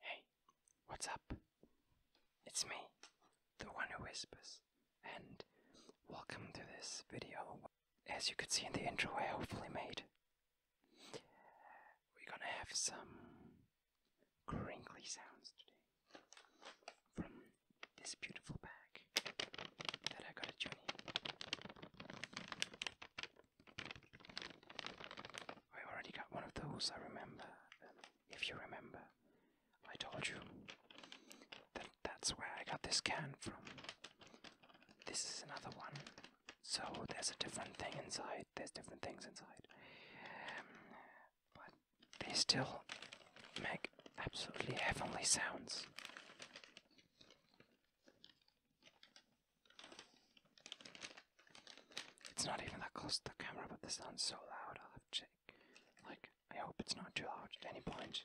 Hey, what's up? It's me, the one who whispers, and welcome to this video. As you could see in the intro I hopefully made, we're gonna have some crinkly sounds today from this beautiful bag that I got at uni. I already got one of those, I remember. if you remember, I told you that that's where I got this can from. This is another one. So there's a different thing inside. There's different things inside. Um, but they still make absolutely heavenly sounds. It's not even that close to the camera, but the sound's so loud. I'll have to check. Like, I hope it's not too loud at any point.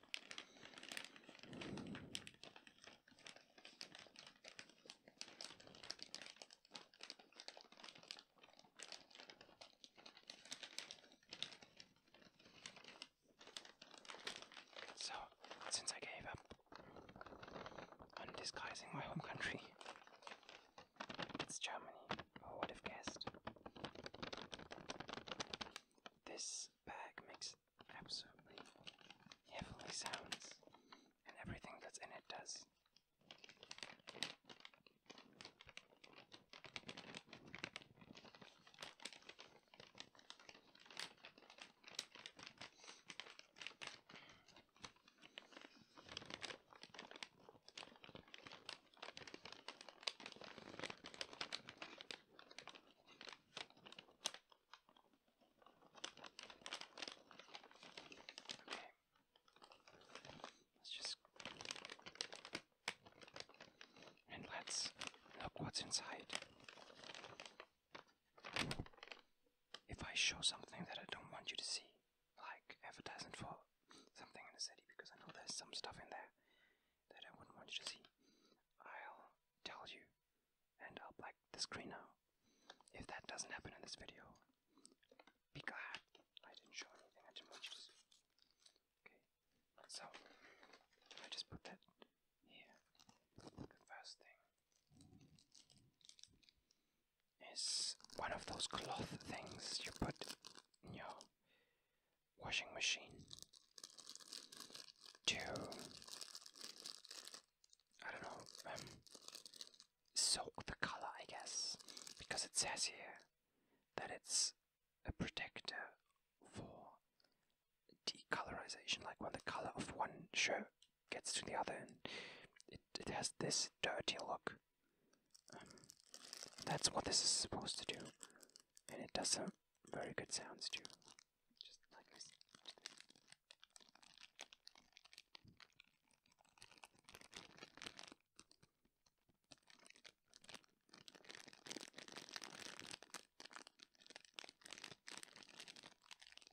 So, since I gave up I'm disguising my home country. It's Germany. Who would have guessed? This bag makes absolutely heavenly sounds, and everything that's in it does. Let's just and let's look what's inside if I show something that I don't want you to see, like advertisement for something in the city, because I know there's some stuff in there that I wouldn't want you to see, I'll tell you and I'll black the screen now. If that doesn't happen in this video, be glad I didn't show anything I didn't want you to see. Okay, so I just put that here. The first thing is one of those cloth things you put in your washing machine to, I don't know, um, soak the color, I guess, because it says here that it's a protector for decolorization, like when the color of one shirt gets to the other end. it, has this dirty look. Um, that's what this is supposed to do. And it does some very good sounds too. Just like this.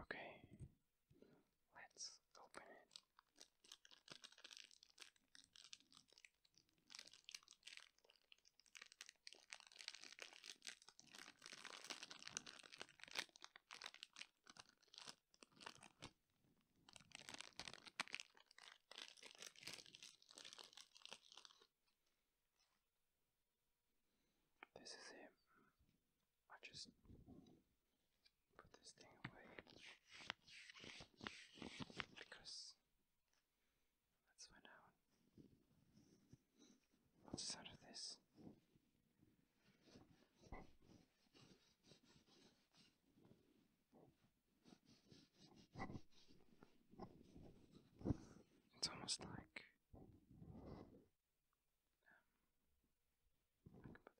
Okay, let's open it. This is it. I just put this thing away because that's went out. What's the of this? It's almost like um,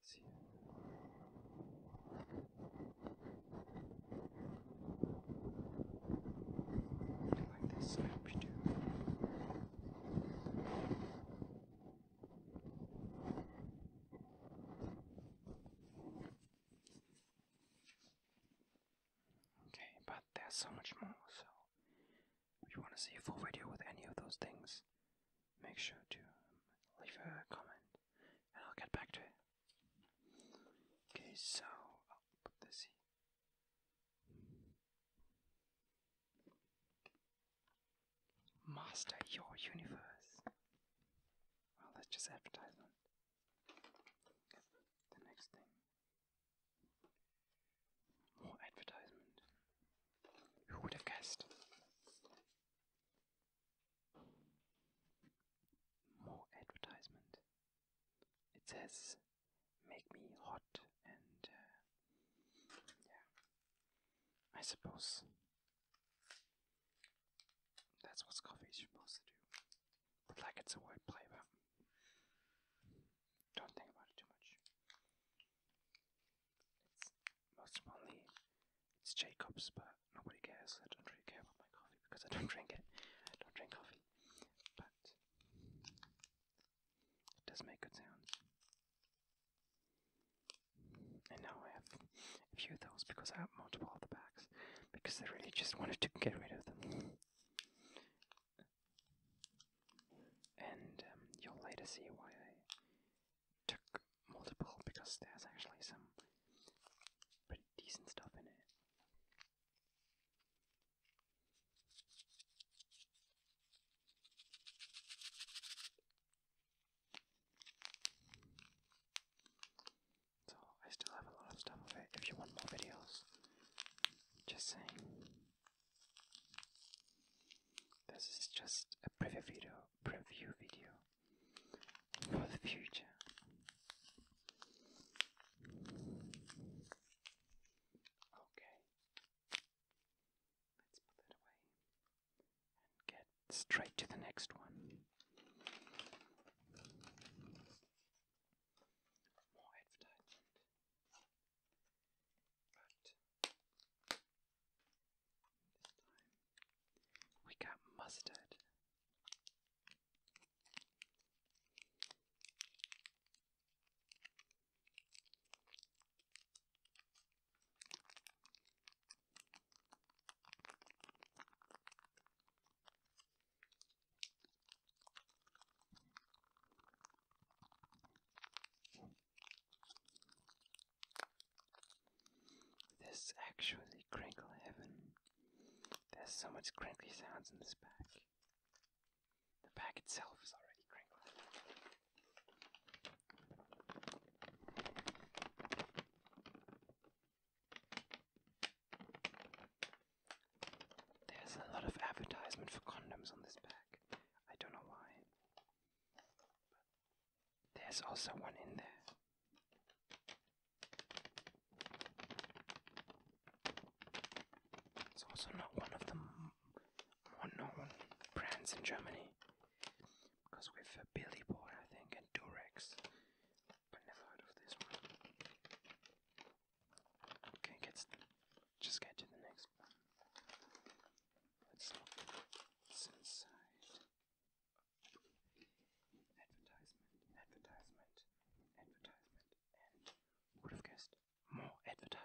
see. Okay, but there's so much more, so if you want to see a full video with any of those things, make sure to leave a comment I'll get back to it. Okay, so I'll put this here. Master your universe. Well, that's just advertisement. The next thing. More advertisement. Who would have guessed? More advertisement. It says, "Make me hot," and uh, yeah, I suppose that's what coffee is supposed to do. But like it's a word play, but don't think about it too much most it's Jacob's, but nobody cares. I don't really care about my coffee because I don't drink it. I don't drink coffee, but it does make good sounds. And now I have a few of those because I have multiple of the packs because I really just wanted to get rid of them. And um, you'll later see why took multiple because there's actually some pretty decent stuff in it. So I still have a lot of stuff of it if you want more videos. Just saying. This is just a preview video preview video for the future. Okay, let's put that away and get straight to the next one. More advertisement, but we got mustard. This actually crinkle heaven. There's so much crinkly sounds in this pack. The pack itself is already crinkly. There's a lot of advertisement for condoms on this pack. I don't know why. There's also one in there. It's also not one of the more known brands in Germany. Because we've Billy Boy, I think, and Durex. But never heard of this one. Okay, let's just get to the next Let's look what's inside. Advertisement, would have guessed more advertisement.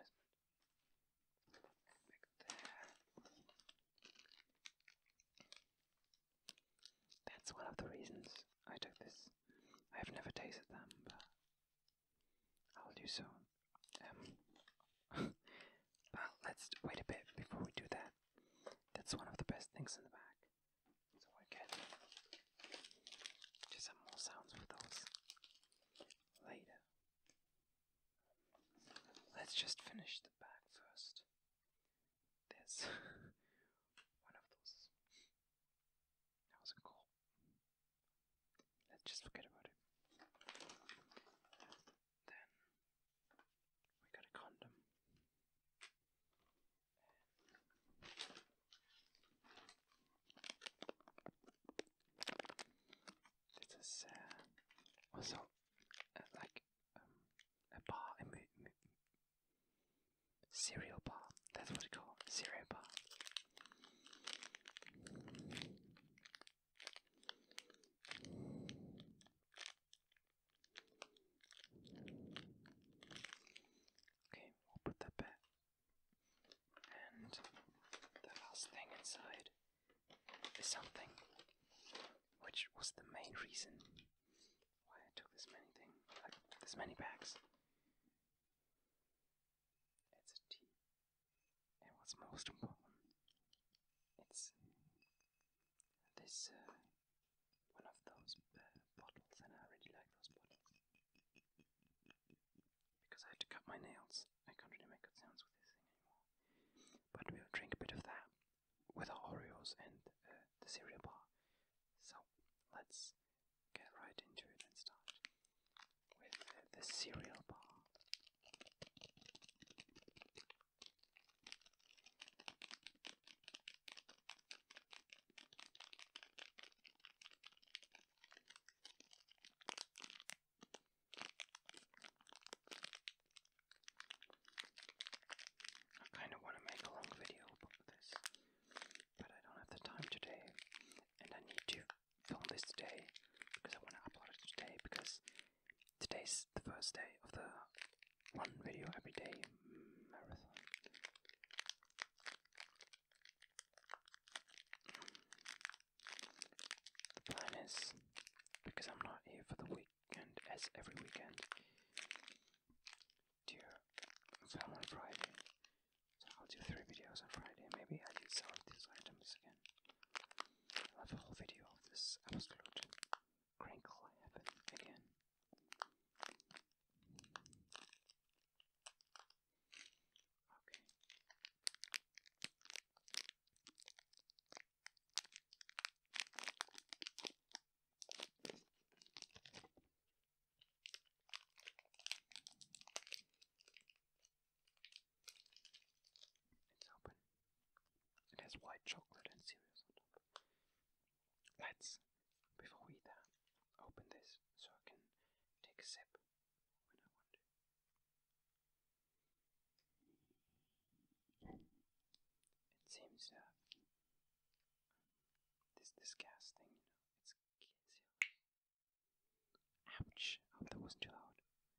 That's one of the reasons I took this. I have never tasted them, but I'll do soon. Um, but let's wait a bit before we do that. That's one of the best things in the back. So I can do some more sounds with those later. Let's just finish the bag first. There's one of those. That was cool. Let's just forget about it then we got a condom. This is also uh, like um, a bar, a m- m- cereal bar. That's what it's called, cereal bar. Okay, we'll put that back. And the last thing inside is something which was the main reason why I took this many thing this many bags. It's a tea. most important it's this uh, one of those uh, bottles, and I really like those bottles because I have to cut my nails. I can't really make good sounds with this thing anymore. But we'll drink a bit of that with our Oreos and uh, the cereal bar. So let's get right into it and start with the cereal bar. I kind of want to make a long video about this, but I don't have the time today, and I need to film this today because I want to upload it today because Today's the first day of the one video every day marathon. The plan is because I'm not here for the weekend, as every weekend, to Friday. So I'll do three videos on Friday. Maybe I do some these items again i have a whole video of this absolute crinkle happen again. Okay. It's open. It has white chocolate and cereals on top. Let's, before we eat that, open this so I can take a sip It seems to Ouch! I oh, hope that wasn't too loud.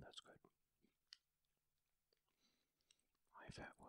That's good. High fat was.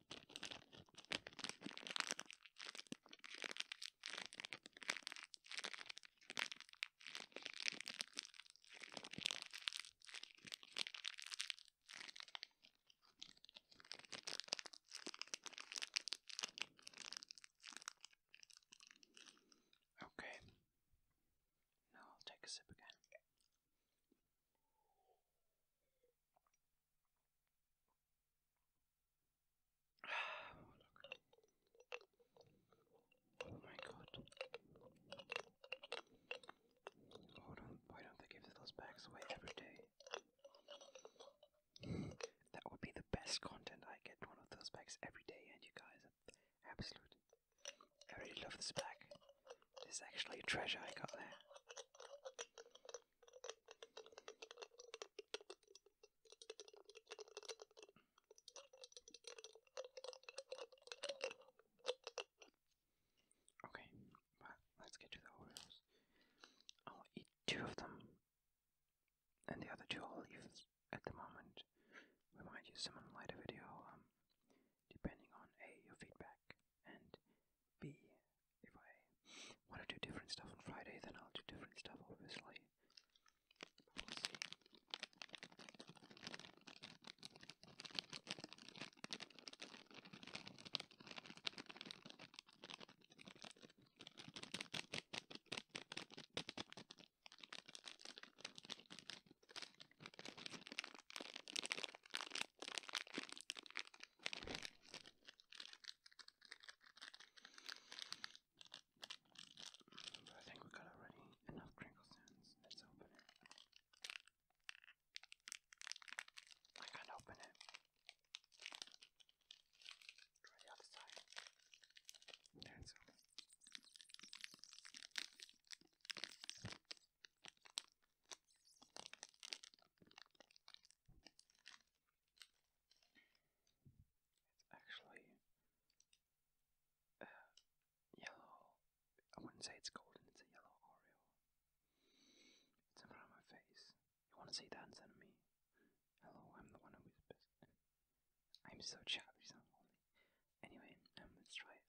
Okay. Now I'll take a sip again. Oh my god. Hold on, why don't they give those bags away every day? that would be the best content. I get one of those bags every day, and you guys absolute. I really love this bag. This is actually a treasure I got there. Okay, but let's get to the Oreos. I'll eat two of them, and the other two I'll leave at the moment. We might use them in a later video, um, depending on A, your feedback, and B, if I want to do different stuff on Friday, then I'll do different stuff, obviously. we'll see. But I think we got already enough crinkle sounds. Let's open it. I can't open it. Try the other side. That's all. It's actually uh, yellow. I wouldn't say it's golden, it's a yellow Oreo. It's in my face. You want to see that instead of me? Hello, I'm the one who whispers. I'm so childish, Anyway, um, let's try it.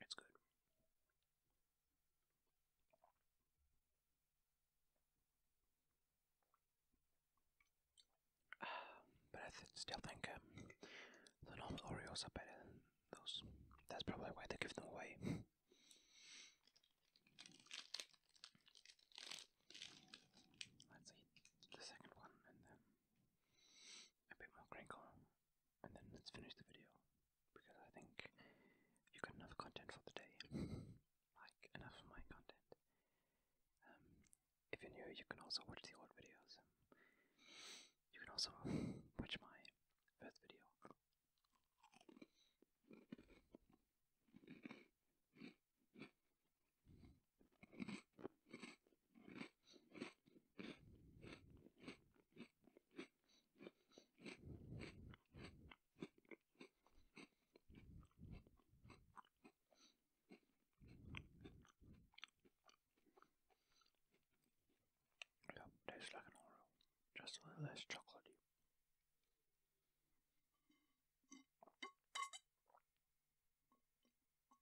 It's good. but I still think um, the normal Oreos are better than those. That's probably why they give them away. Let's eat the second one then a bit more crinkle, and then let's finish the video because I think you got enough content for the day. like enough of my content. Um, if you're new, you can also watch the old videos. Um, you can also watch my first video. Yep, tastes like an Oreo, just a little less chocolatey.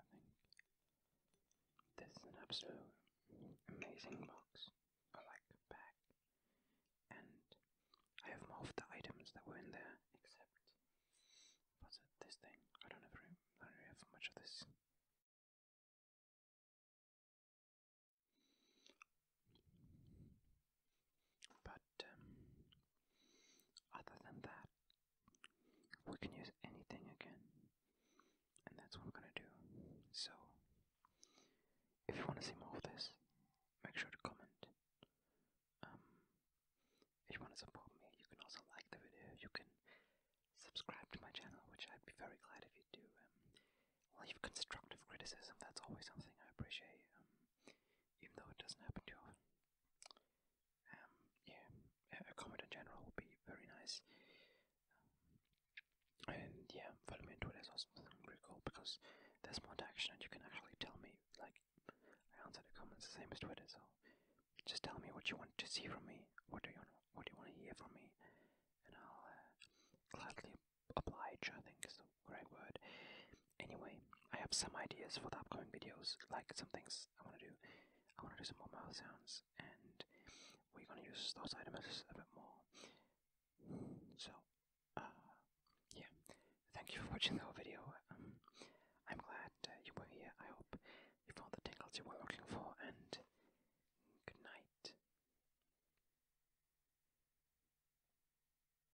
I think this is an absolute amazing box, I like pack, and I have more of the items that were in there, except what's it, this thing? I don't ever, I don't have much of this. But um, other than that, we can use anything again, and that's what we're gonna do. So, if you want to see more of this, make sure to comment. Um, if you want to support me, you can also like the video. You can subscribe to my channel, which I'd be very glad if you do. Um, leave constructive criticism. That's always something I appreciate. Um, even though it doesn't happen too often. Um, yeah, a comment in general would be very nice. Um, and yeah, follow me on Twitter is also something really cool because there's more action and you can actually tell me, like, I answer the comments the same as Twitter, so just tell me what you want to see from me, what do you want, what do you want to hear from me, and I'll uh, gladly oblige, I think is the correct word. Anyway, I have some ideas for the upcoming videos, like some things I want to do. I want to do some more mouth sounds, and we're going to use those items a bit more. So, uh, yeah, thank you for watching the whole video. Um, I'm glad you were here. I hope you found the tingles you were looking for, and good night.